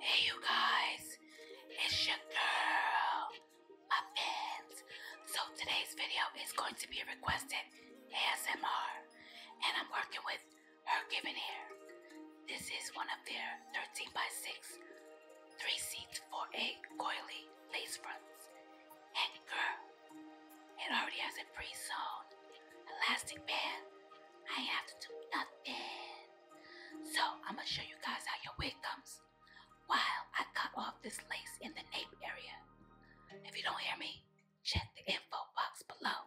Hey, you guys, it's your girl, my fans. So, today's video is going to be requested ASMR, and I'm working with Her Given Hair. This is one of their 13 by 6 three seats for a coily lace fronts. And girl, it already has a pre-sewn. Elastic band. I have to do nothing. So I'm gonna show you guys how your wig comes while I cut off this lace in the nape area. If you don't hear me, check the info box below.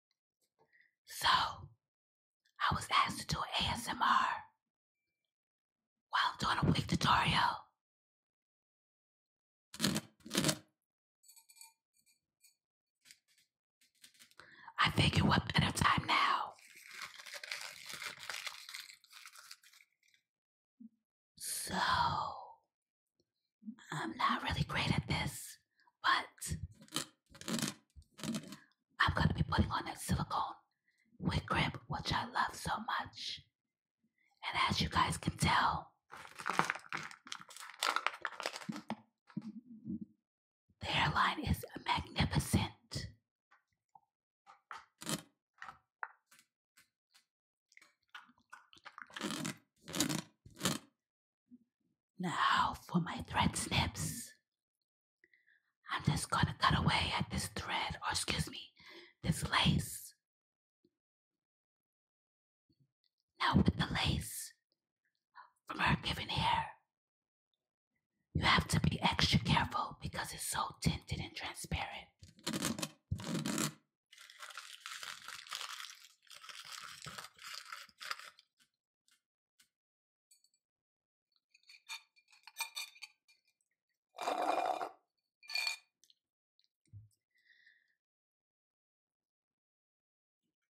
so, I was asked to do ASMR while doing a wig tutorial. I figure what better time now? So, I'm not really great at this, but I'm going to be putting on that silicone wig grip, which I love so much. And as you guys can tell, the hairline is magnificent. Now for my thread snips. I'm just gonna cut away at this thread, or excuse me, this lace. Now with the lace from her given hair, you have to be extra careful because it's so tinted and transparent.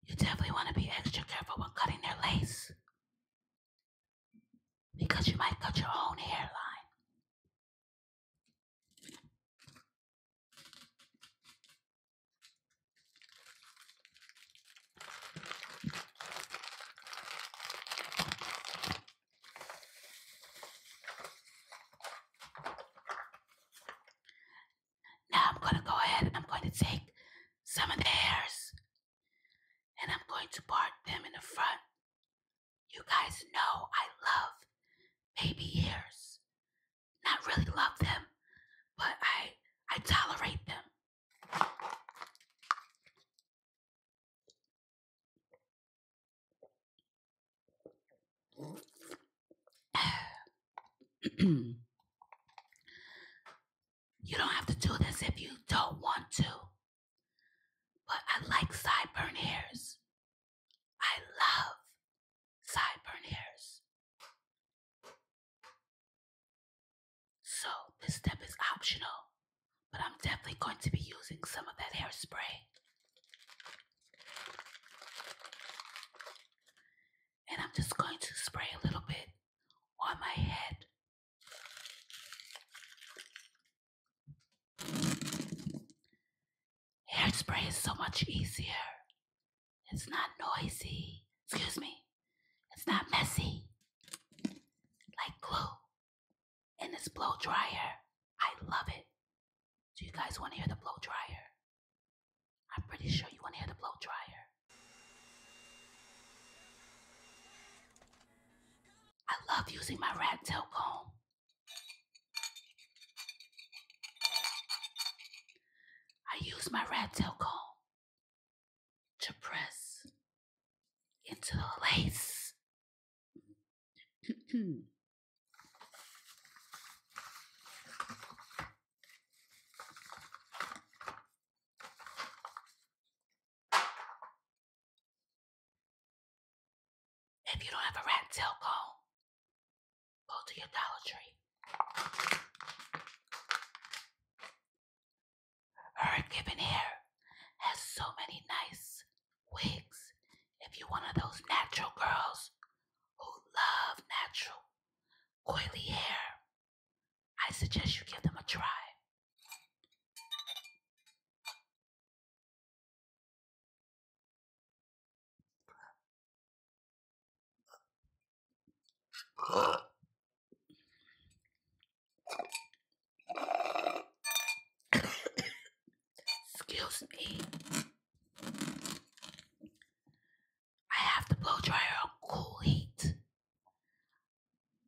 You definitely want to be extra careful when cutting their lace because you might cut your own hairline. Now I'm going to go ahead and I'm going to take some of the hairs and I'm going to part them in the front. You guys know I love baby ears not really love them, but I I tolerate them. you don't have to do this if you don't want to. But I like sideburn hairs. I love sideburn hairs. So, this step is optional, but I'm definitely going to be using some of that hairspray. And I'm just going to spray a little bit on my head. Hairspray is so much easier it's not noisy. Excuse me. It's not messy. Like glue. And it's blow dryer. I love it. Do you guys want to hear the blow dryer? I'm pretty sure you want to hear the blow dryer. I love using my rat tail comb. I use my rat tail comb to press into the lace. If you don't have a rat tail comb, Go to your Dollar Tree. Her given hair has so many nice wigs. If you're one of those natural girls who love natural, coily hair, I suggest you give them a try. Excuse me. I have the blow dryer on cool heat.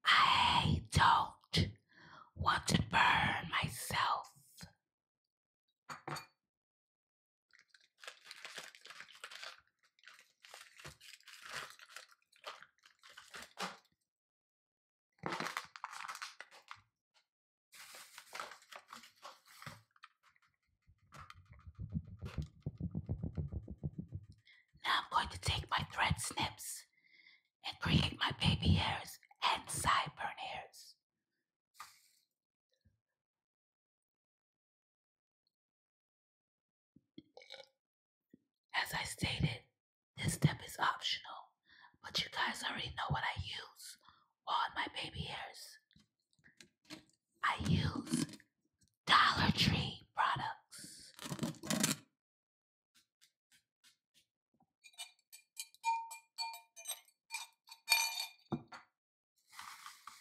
I don't want to burn myself. Now I'm going to take my thread snips and create my baby hairs and sideburn hairs. As I stated, this step is optional, but you guys already know what I use on my baby hairs. I use Dollar Tree products.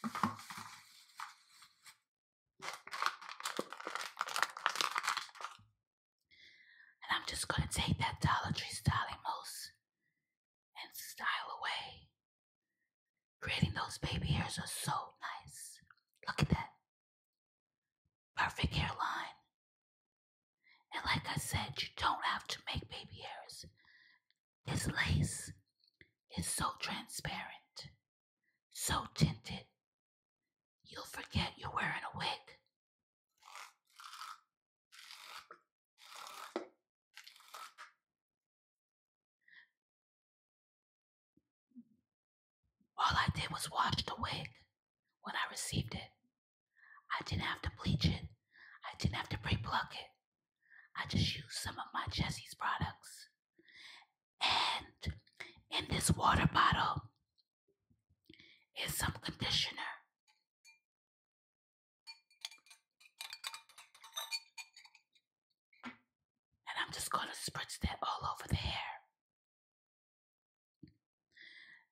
And I'm just going to take that Dollar Tree styling mousse and style away. Creating those baby hairs are so nice. Look at that. Perfect hairline. And like I said, you don't have to make baby hairs this lace is so transparent, so tinted, you'll forget you're wearing a wig. All I did was wash the wig when I received it. I didn't have to bleach it. I didn't have to pre pluck it. I just used some of my Jesse's products. And in this water bottle is some conditioner. And I'm just going to spritz that all over the hair.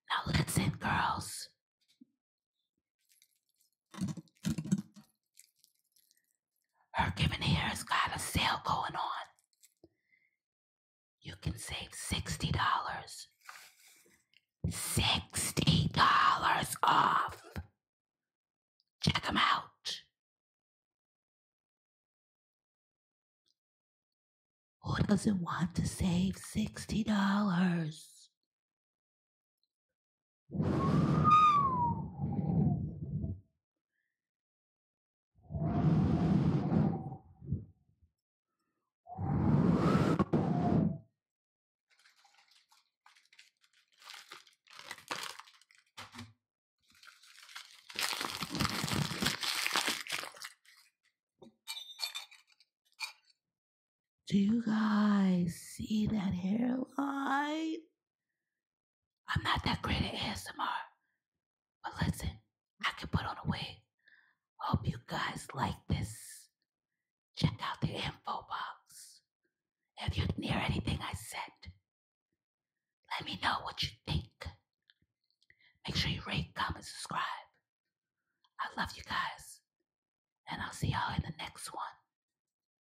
Now, listen, girls. Her given here has got a sale going on. You can save $60. $60 off. Check them out. Who doesn't want to save $60? Do you guys see that hairline? I'm not that great at ASMR, but listen, I can put on a wig. Hope you guys like this. Check out the info box. If you hear anything I said, let me know what you think. Make sure you rate, comment, subscribe. I love you guys, and I'll see y'all in the next one.